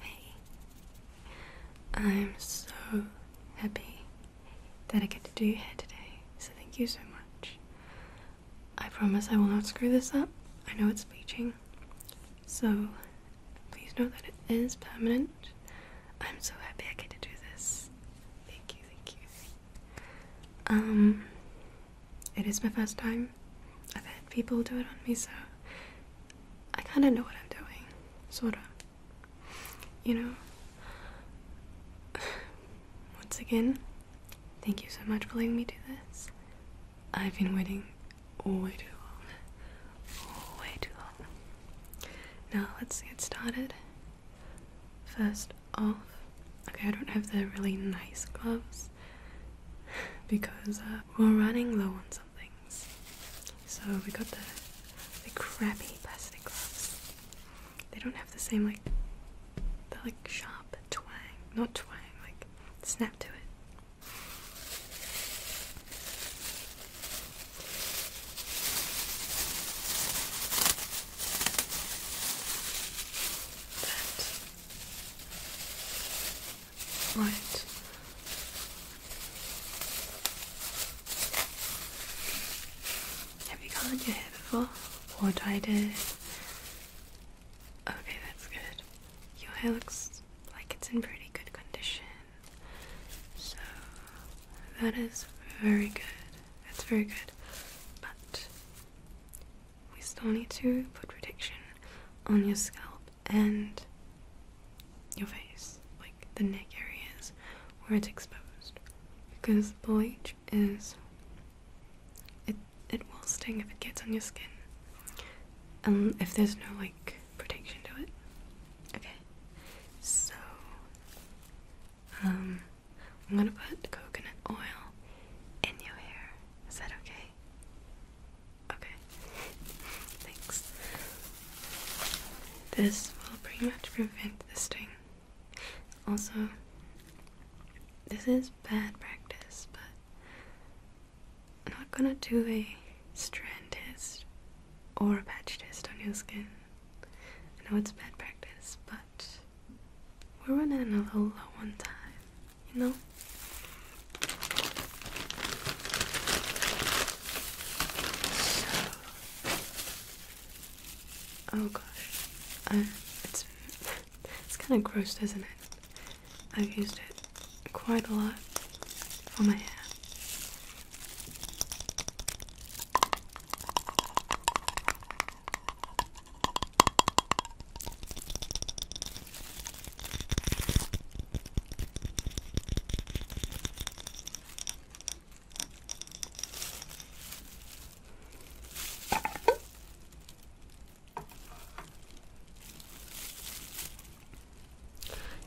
Hey, I'm so happy that I get to do your hair today, so thank you so much. I promise I will not screw this up. I know it's bleaching, so please know that it is permanent. I'm so happy I get to do this. Thank you, thank you. Um, it is my first time. I've had people do it on me, so I kind of know what I'm doing. Sort of. You know? Once again, thank you so much for letting me do this. I've been waiting all way too long. way too long. Now, let's get started. First, off. Okay, I don't have the really nice gloves because uh, we're running low on some things. So we got the crappy plastic gloves. They don't have the same like the like sharp twang, not twang, like snap to it. That Right. Have you colored your hair before? Or dyed it? Okay, that's good. Your hair looks like it's in pretty good condition. So, that is very good. That's very good. But we still need to put protection on your scalp and your face, like the neck areas where it's exposed, because bleach is it it will sting if it gets on your skin, and um, if there's no like protection to it. Okay, so um, I'm gonna put coconut oil in your hair. Is that okay? Okay. Thanks. This will pretty much prevent the sting. Also, this is bad practice, but I'm not gonna do a strand test or a patch test on your skin. I know it's bad practice, but we're running a Lola one time, you know? oh gosh, it's it's kind of gross, does not it? I've used it quite a lot for my hair.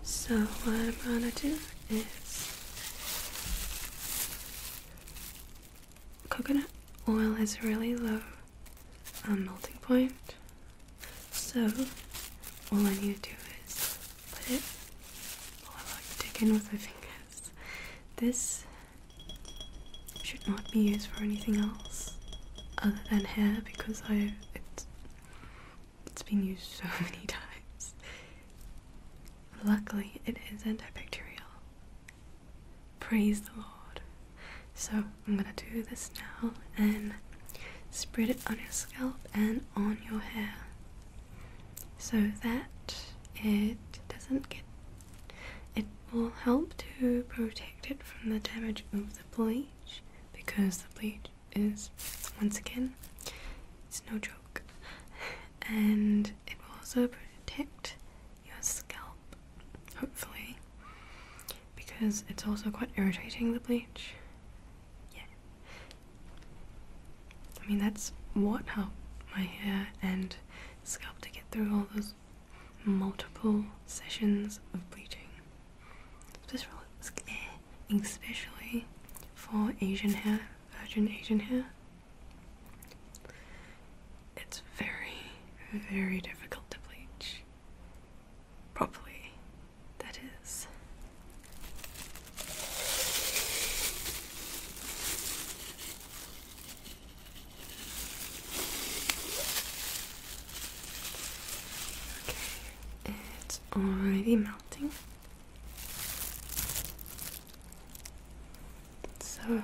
So what I'm gonna do is coconut oil has a really low um, melting point, so all I need to do is put it. All I like dig in with my fingers. This should not be used for anything else other than hair because I it's it's been used so many times. Luckily, it is antibacterial. Praise the Lord. So I'm gonna do this now and spread it on your scalp and on your hair so that it doesn't get it will help to protect it from the damage of the bleach because the bleach is once again it's no joke and it will also protect your scalp, hopefully, because it's also quite irritating the bleach. Yeah. I mean, that's what helped my hair and scalp to get through all those multiple sessions of bleaching. Especially for Asian hair, virgin Asian hair it's very, very difficult to bleach properly. That is. Okay, it's already melting. So well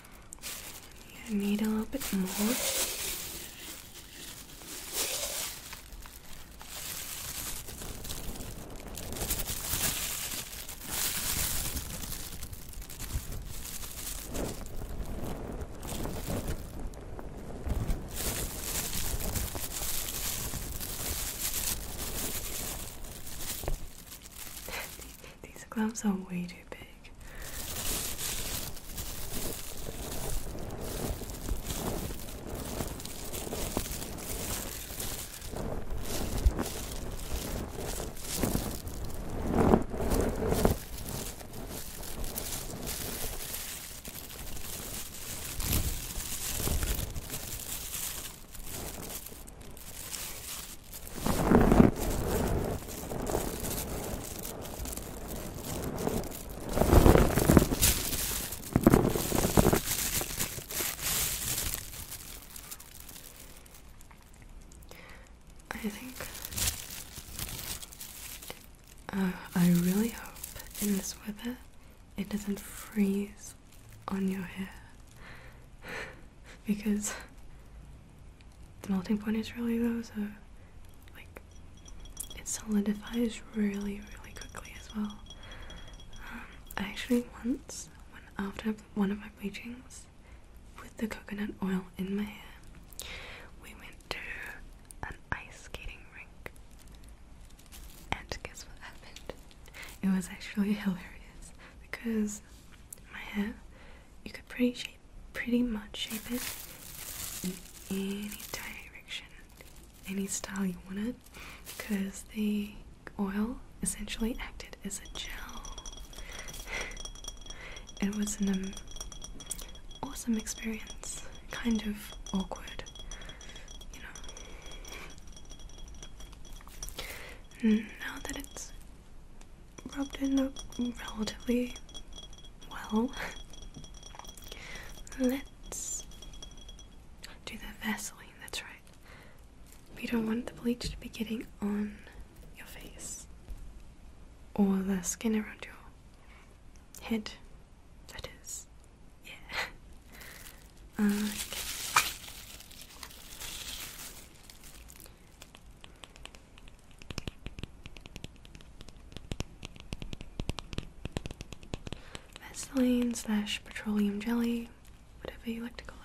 I need a little bit more. These gloves are way too big. I think uh, I really hope in this weather it doesn't freeze on your hair because the melting point is really low, so like it solidifies really, really quickly as well. Um, I actually once, when, after one of my bleachings, with the coconut oil in my hair, we went to an ice skating rink, and guess what happened? It was actually hilarious because my hair, you could pretty shape pretty much shape it in any direction, any style you want it, because the oil essentially acted as a gel. it was an awesome experience, kind of awkward, you know. now that it's rubbed in relatively well. Let's do the Vaseline, that's right. We don't want the bleach to be getting on your face or the skin around your head. That is, yeah. Uh, okay. Vaseline slash petroleum jelly, whatever you like to call it.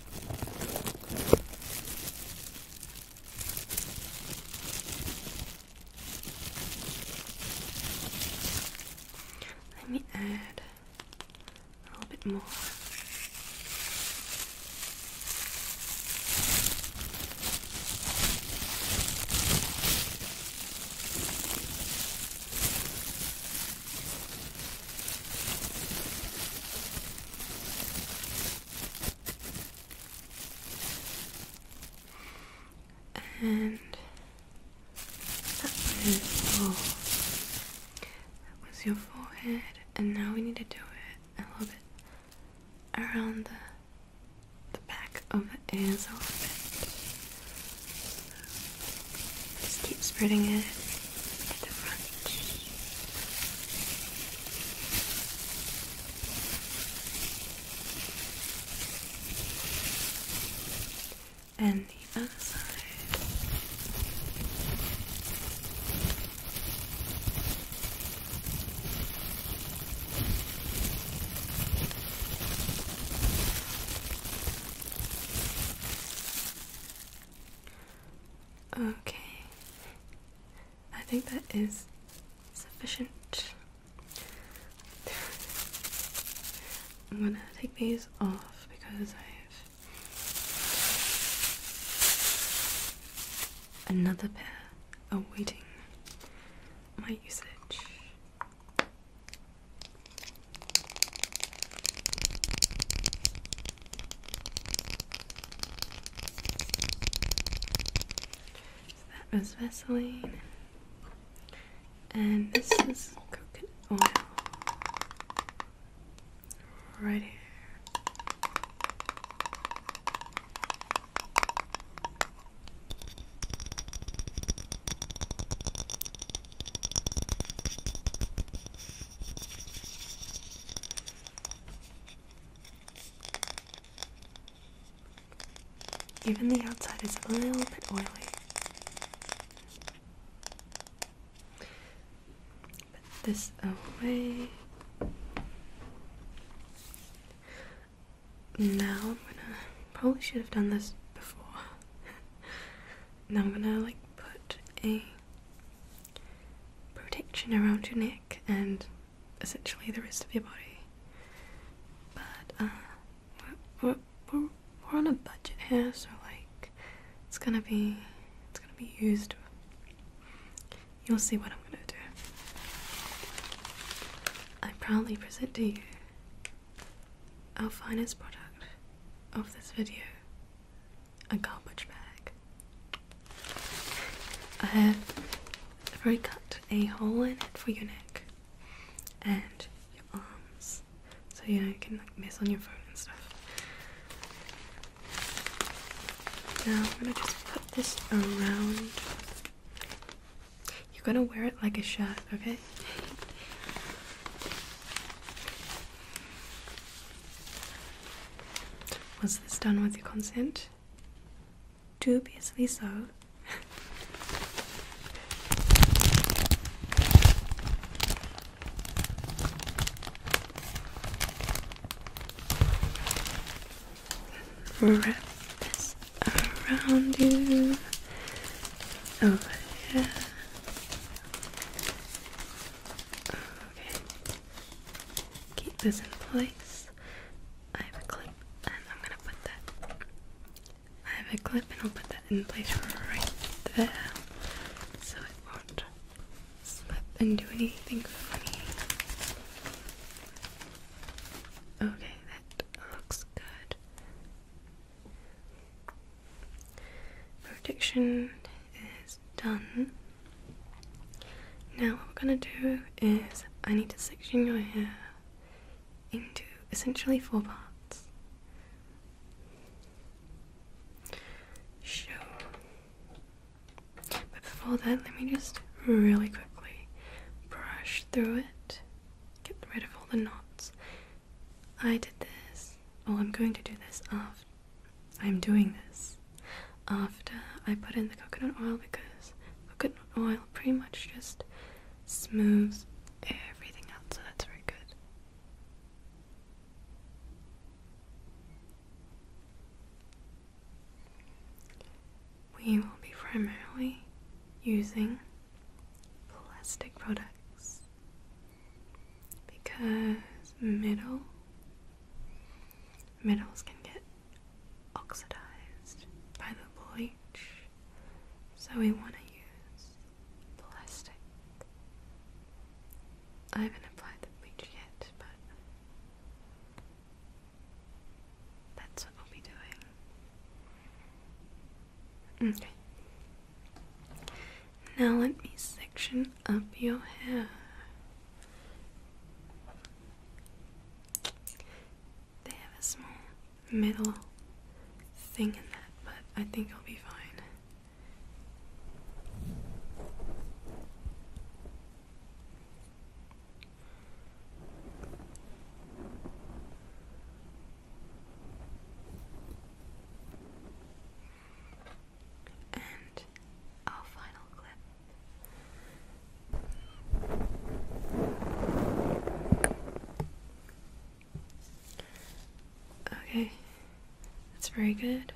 Let me add a little bit more. And that was, oh, that was your forehead, and now we need to do it a little bit around the the back of the ears a little bit. Just keep spreading it at the front. And the other side. Okay. I think that is sufficient. I'm gonna take these off because I have another pair awaiting my usage that was Vaseline, and this is coconut oil right here. Even the outside is a little bit oily. Put this away. Now I'm gonna probably should have done this before. now I'm gonna like put a protection around your neck and essentially the rest of your body. But uh, we're, we're on a budget here, so like it's gonna be it's gonna be used. You'll see what I'm gonna do. I proudly present to you our finest product of this video a garbage bag. I have already cut a hole in it for your neck and your arms, so you know you can like mess on your phone and stuff. Now I'm gonna just put this around. You're gonna wear it like a shirt, okay? Was this done with your consent? Dubiously so. Wrap this around you over here. Okay. Keep this in place. I have a clip and I'm gonna put that. I have a clip and I'll put that in place right there so it won't slip and do anything funny. Okay, that looks good. Prediction is done. Now, what we're going to do is I need to section your hair into essentially four parts. Sure. But before that, let me just really quickly brush through it, get rid of all the knots. I did this, Oh, I'm going to do this after. I'm doing this after I put in the coconut oil because coconut oil pretty much just smooths everything out, so that's very good. We will be primarily using plastic products because middle middles can get oxidized by the bleach, so we want to use plastic. I haven't applied the bleach yet, but that's what we'll be doing. Okay. Now let me section up your hair. They have a small middle thing in that, but I think it'll be fine and our final clip. Okay, that's very good.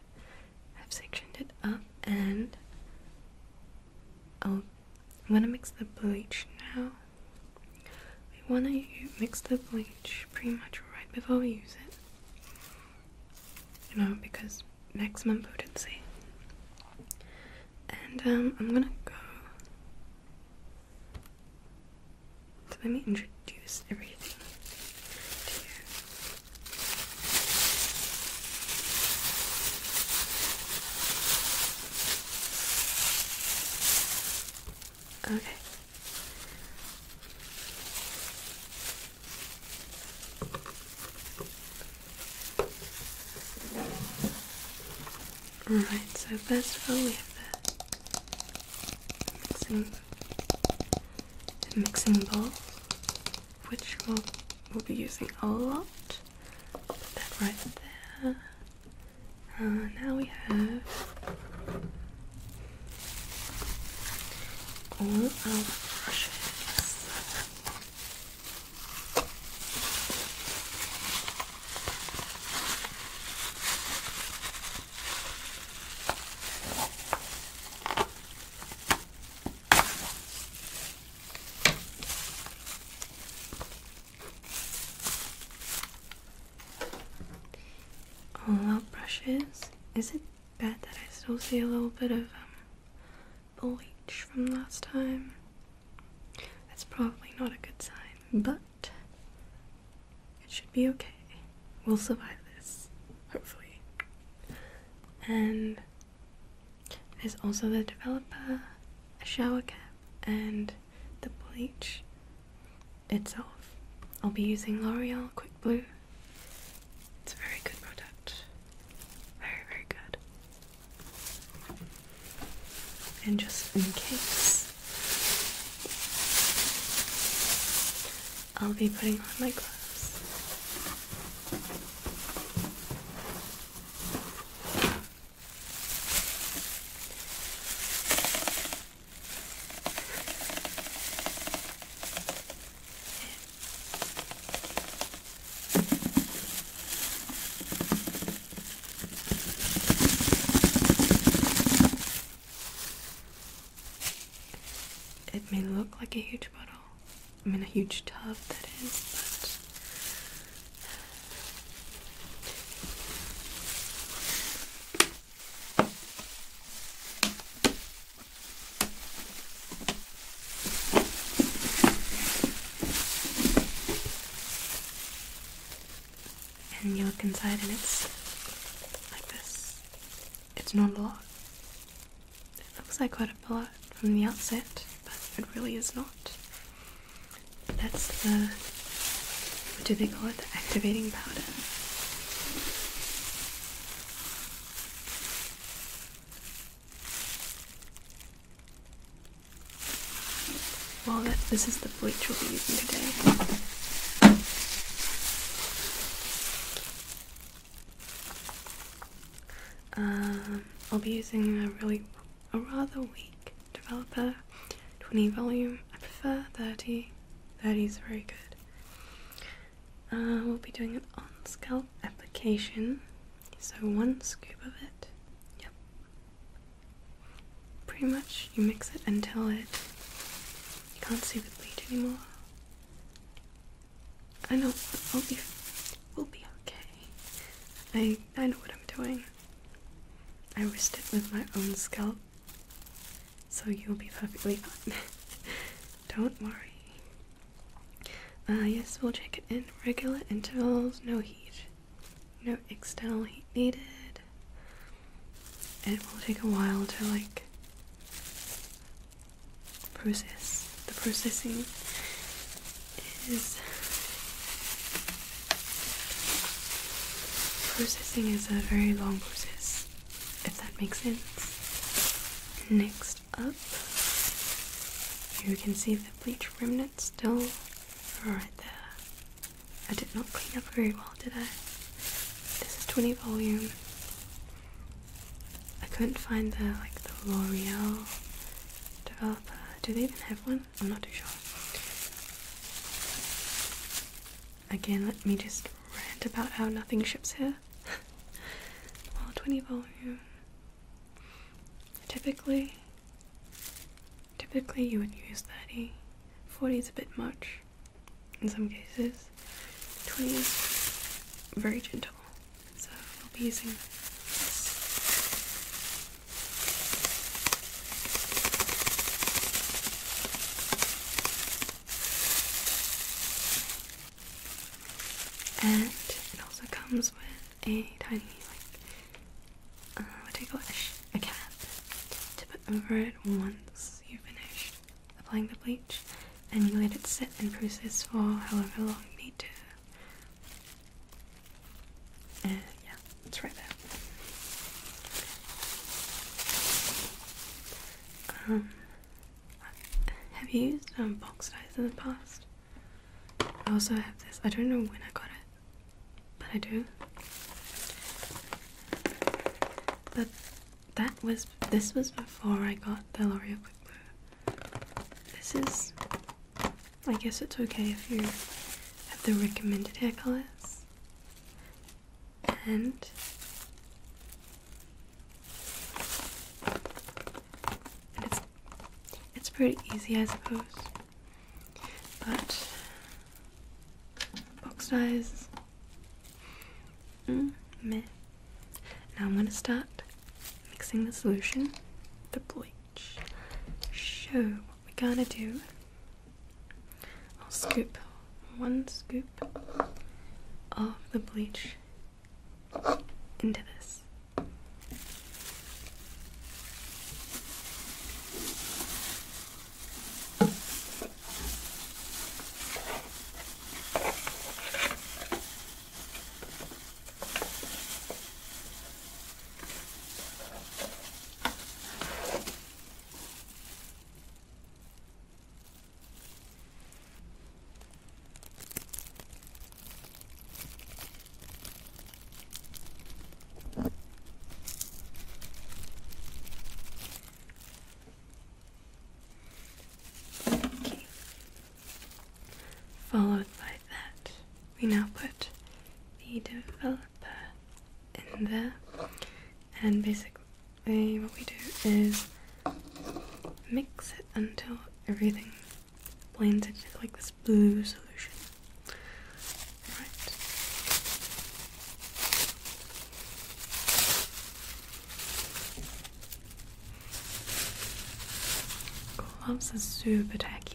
I've sectioned it up and i I'm gonna mix the bleach now. We wanna mix the bleach pretty much right before we use it you know, because maximum potency. And um, I'm gonna go. let me introduce everything to you. Okay, Alright, so first of all we have the mixing, mixing bowl, which we'll, we'll be using a lot. Put that right there. Uh, now we have all our brushes. All our brushes. Is it bet that I still see a little bit of um, bleach from last time. That's probably not a good sign, but it should be okay. We'll survive this, hopefully. And there's also the developer, a shower cap, and the bleach itself. I'll be using L'Oreal Quick Blue it's a very good product. Very, very good. And just in case, I'll be putting on my gloves. It may look like a huge bottle, I mean, a huge tub that is, but and you look inside, and it's like this. It's not a lot. It looks like quite a lot from the outset, but it really is not. That's the what do they call it? The activating powder. Well, this is the bleach we'll be using today. Um, I'll be using a really, a rather weak developer, 20 volume. I prefer 30. 30 is very good. Uh, we'll be doing an on-scalp application, so one scoop of it. Yep. Pretty much, you mix it until it you can't see the bleed anymore. I know. I'll be. We'll be okay. I I know what I'm doing. I risked it with my own scalp so you'll be perfectly fine. Don't worry. Uh, yes, we'll check it in regular intervals, no heat, no external heat needed. it will take a while to like process. The processing is processing is a very long process if that makes sense. Next up, you can see the bleach remnants still right there. I did not clean up very well, did I? This is 20 volume. I couldn't find the like the L'Oreal developer. Do they even have one? I'm not too sure. Again, let me just rant about how nothing ships here well, 20 volume. Typically, typically you would use 30. 40 is a bit much in some cases. 20 is very gentle, so I'll be using and it also comes with a tiny like uh, what do call it? A cap to put over it once you finished applying the bleach, and you let it sit and process for however long you need to. Uh, yeah, it's right there. Um, have you used um, box ties in the past? I also have this. I don't know when I got it, but I do. But that was this was before I got the L'Oreal Quick Blue. This is. I guess it's okay if you have the recommended hair colors. And it's it's pretty easy, I suppose. But box ties, mm, Now I'm gonna start mixing the solution, the bleach. So what we're gonna do, I'll scoop one scoop of the bleach into this. Okay. Followed by that, we now put the developer in there and basically what we do is mix it until everything blends into like this blue solution. Right. Gloves are super tacky.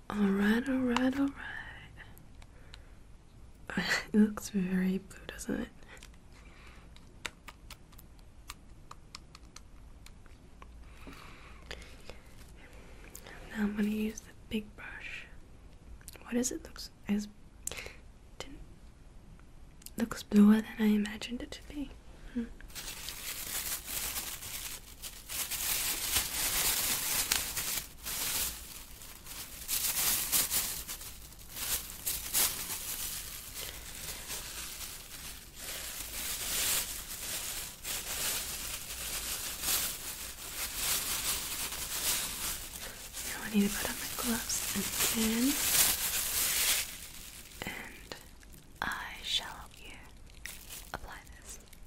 Alright, alright, alright. it looks very blue, doesn't it? Now I'm gonna use the big brush. What is it? Looks as looks bluer than I imagined it to be. Hmm. Now I need to put on my gloves again, and I shall apply this.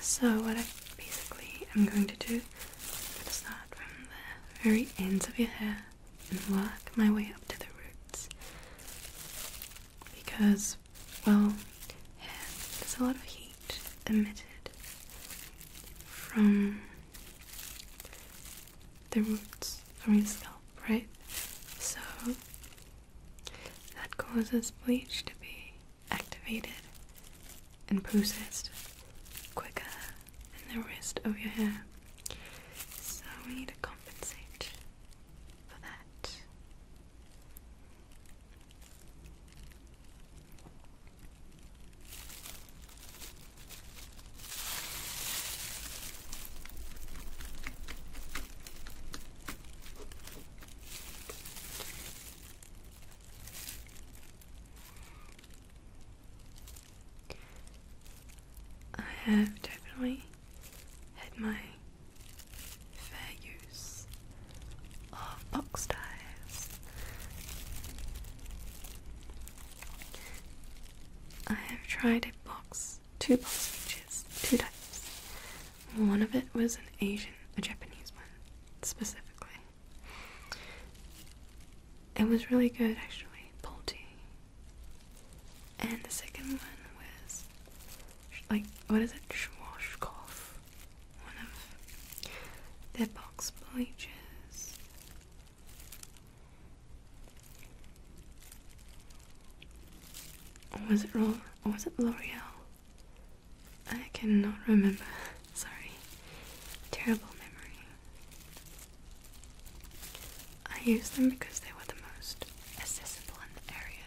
So, what I basically am going to do, is am start from the very ends of your hair and work my way up to the roots. Because well, there's a lot of heat emitted from the roots of your scalp, right? So that causes bleach to be activated and processed quicker than the rest of your hair. So we need to compensate for that. I have definitely had my fair use of box ties. I have tried a box, two box speeches, two types. One of it was an Asian, a Japanese one, specifically. It was really good actually, Polty. And the second one was, like, what is it? Schwarzkopf one of their box bleachers. Or was it Roll was it L'Oreal? I cannot remember. Sorry. Terrible memory. I used them because they were the most accessible in the area.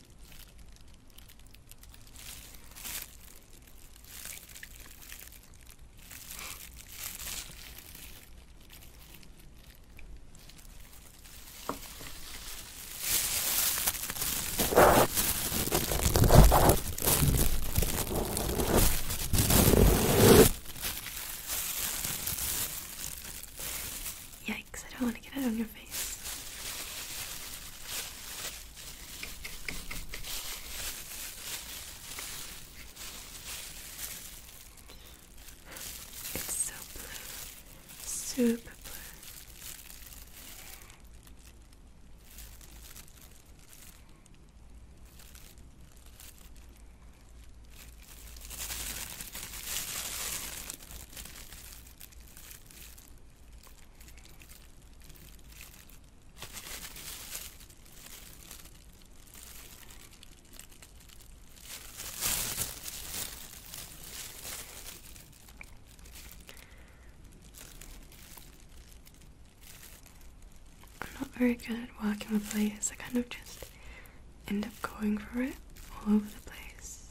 Yikes, I don't want to get it on your face. It's so blue, super blue. I'm not very good at working with layers, I kind of just end up going for it all over the place.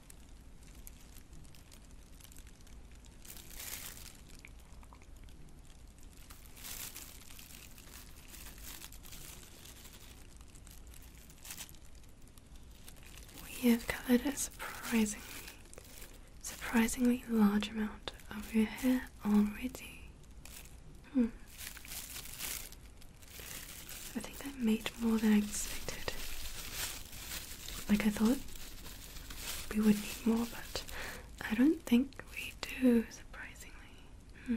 We have covered a surprisingly, surprisingly large amount of your hair already. Hmm. I think that made more than I expected. Like I thought we would need more, but I don't think we do, surprisingly. Hmm.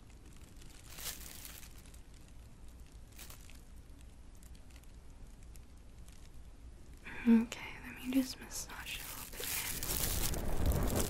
Okay, let me just massage a little bit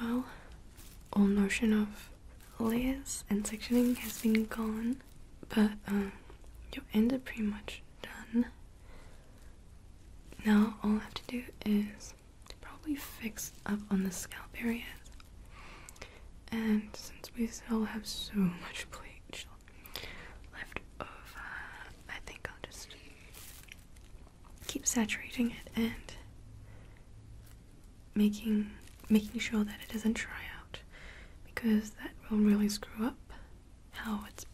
Well, all notion of layers and sectioning has been gone, but um, you're end is pretty much done. Now all I have to do is probably fix up on the scalp areas. And since we still have so much bleach left over, I think I'll just keep saturating it and making making sure that it doesn't dry out because that will really screw up how it's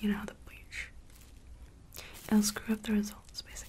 you know the bleach. It'll screw up the result results basically.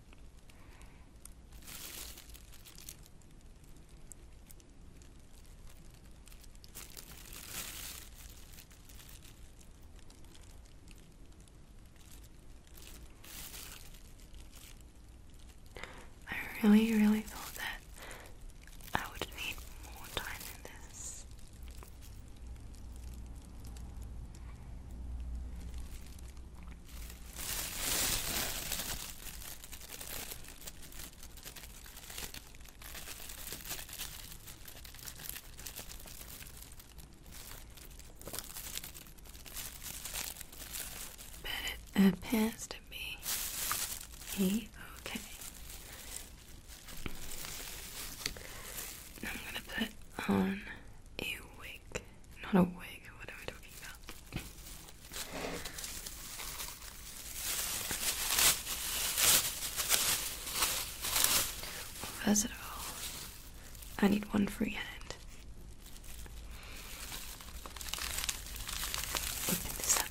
I really, really thought that I would need more time in this. But it appears to be okay I'm gonna put on a wig. Not a wig, what am I talking about? First of all, I need one free hand. Open this up.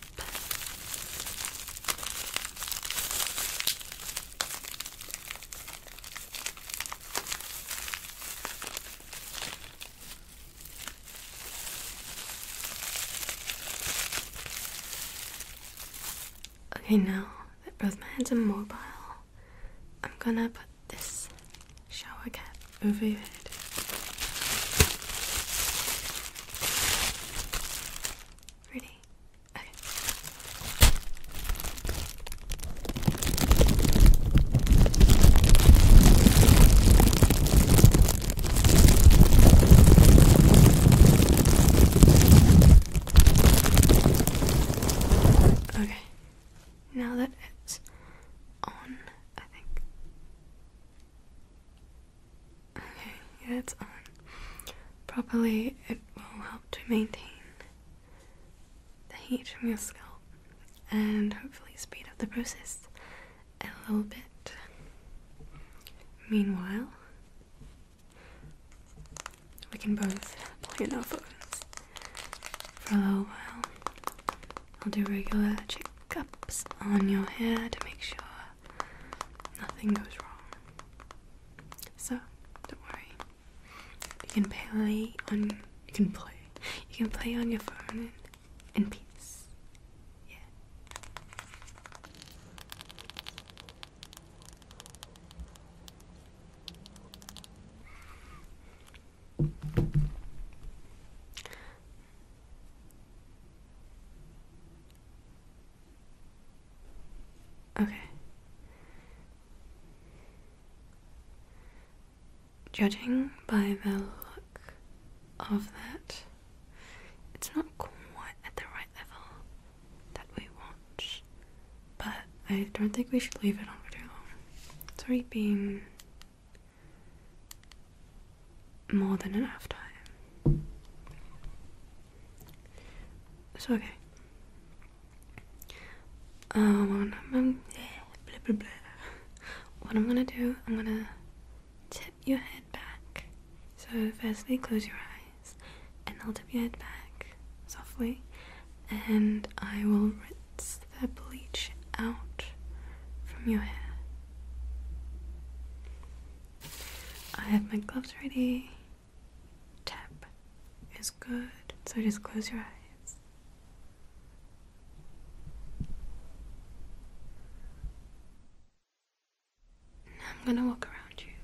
Okay, now that both my hands are mobile, I'm gonna put this shower cap over your head. Ready? Okay. Okay, now that it's on, I think. Okay, yeah, it's on. Properly, it will help to maintain the heat from your scalp and hopefully speed up the process a little bit. Meanwhile, we can both play in our phones for a little while. I'll do regular checkups on your hair to make sure nothing goes wrong. So, don't worry. You can play on you can play. You can play on your phone in, peace. Yeah. Okay. Judging by the look of that, it's not quite at the right level that we want, but I don't think we should leave it on for too long. It's already been more than enough time. So, okay. Um, um, um, what I'm gonna do, I'm gonna tip your head back. So firstly, close your eyes, and I'll tip your head back softly, and I will rinse the bleach out from your hair. I have my gloves ready. Tap is good, so just close your eyes. Now I'm going to walk around you.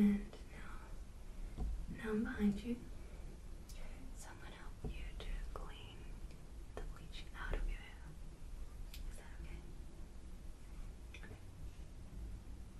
And now, now I'm behind you. I'm going to help you to clean the bleach out of your hair. Is that Okay.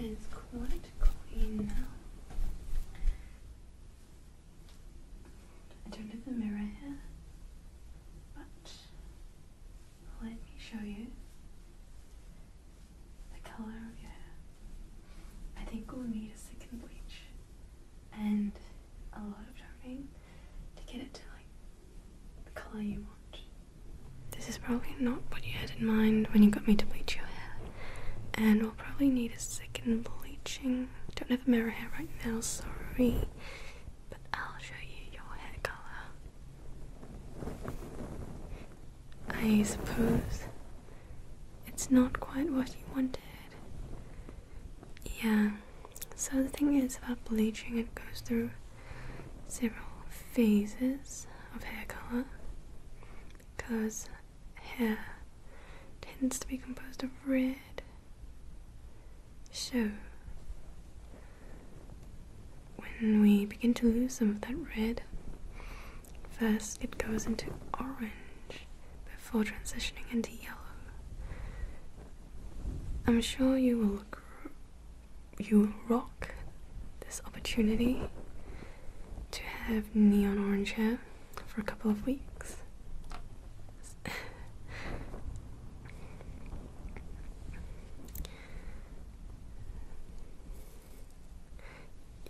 It's quite clean now. I don't have a mirror here, but let me show you the colour of your hair. I think we'll need a second bleach and a lot of drumming to get it to like the colour you want. This is probably not what you had in mind when you got me to bleach your hair, and we'll probably need a sick and bleaching. Don't have a mirror here right now, sorry. But I'll show you your hair color. I suppose it's not quite what you wanted. Yeah, so the thing is about bleaching, it goes through several phases of hair color because hair tends to be composed of red, so, when we begin to lose some of that red, first it goes into orange before transitioning into yellow. I'm sure you will you will rock this opportunity to have neon orange hair for a couple of weeks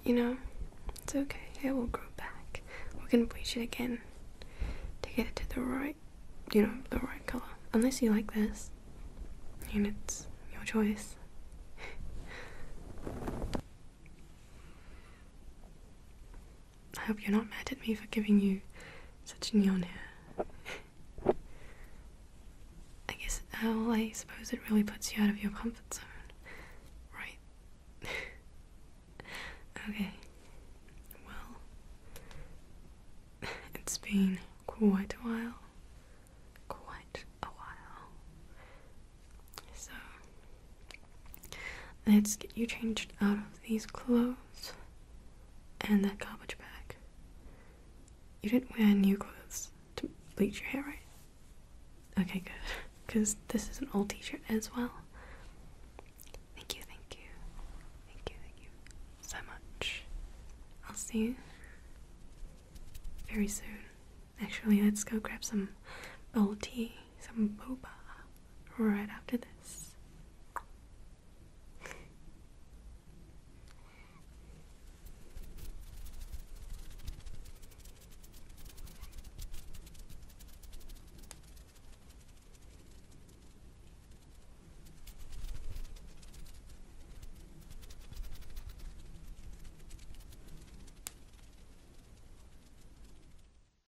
you know, it's okay. It will grow back. We can bleach it again to get it to the right, you know, the right color. Unless you like this, and it's your choice. I hope you're not mad at me for giving you such neon hair. I guess, well, I suppose it really puts you out of your comfort zone, right? okay, well, it's been quite a while. Quite a while. So, Let's get you changed out of these clothes and that garbage bag. You didn't wear new clothes to bleach your hair, right? Okay, good. Because this is an old t shirt as well. Thank you, thank you. Thank you, thank you so much. I'll see you very soon. Actually, let's go grab some old tea, some boba right after this.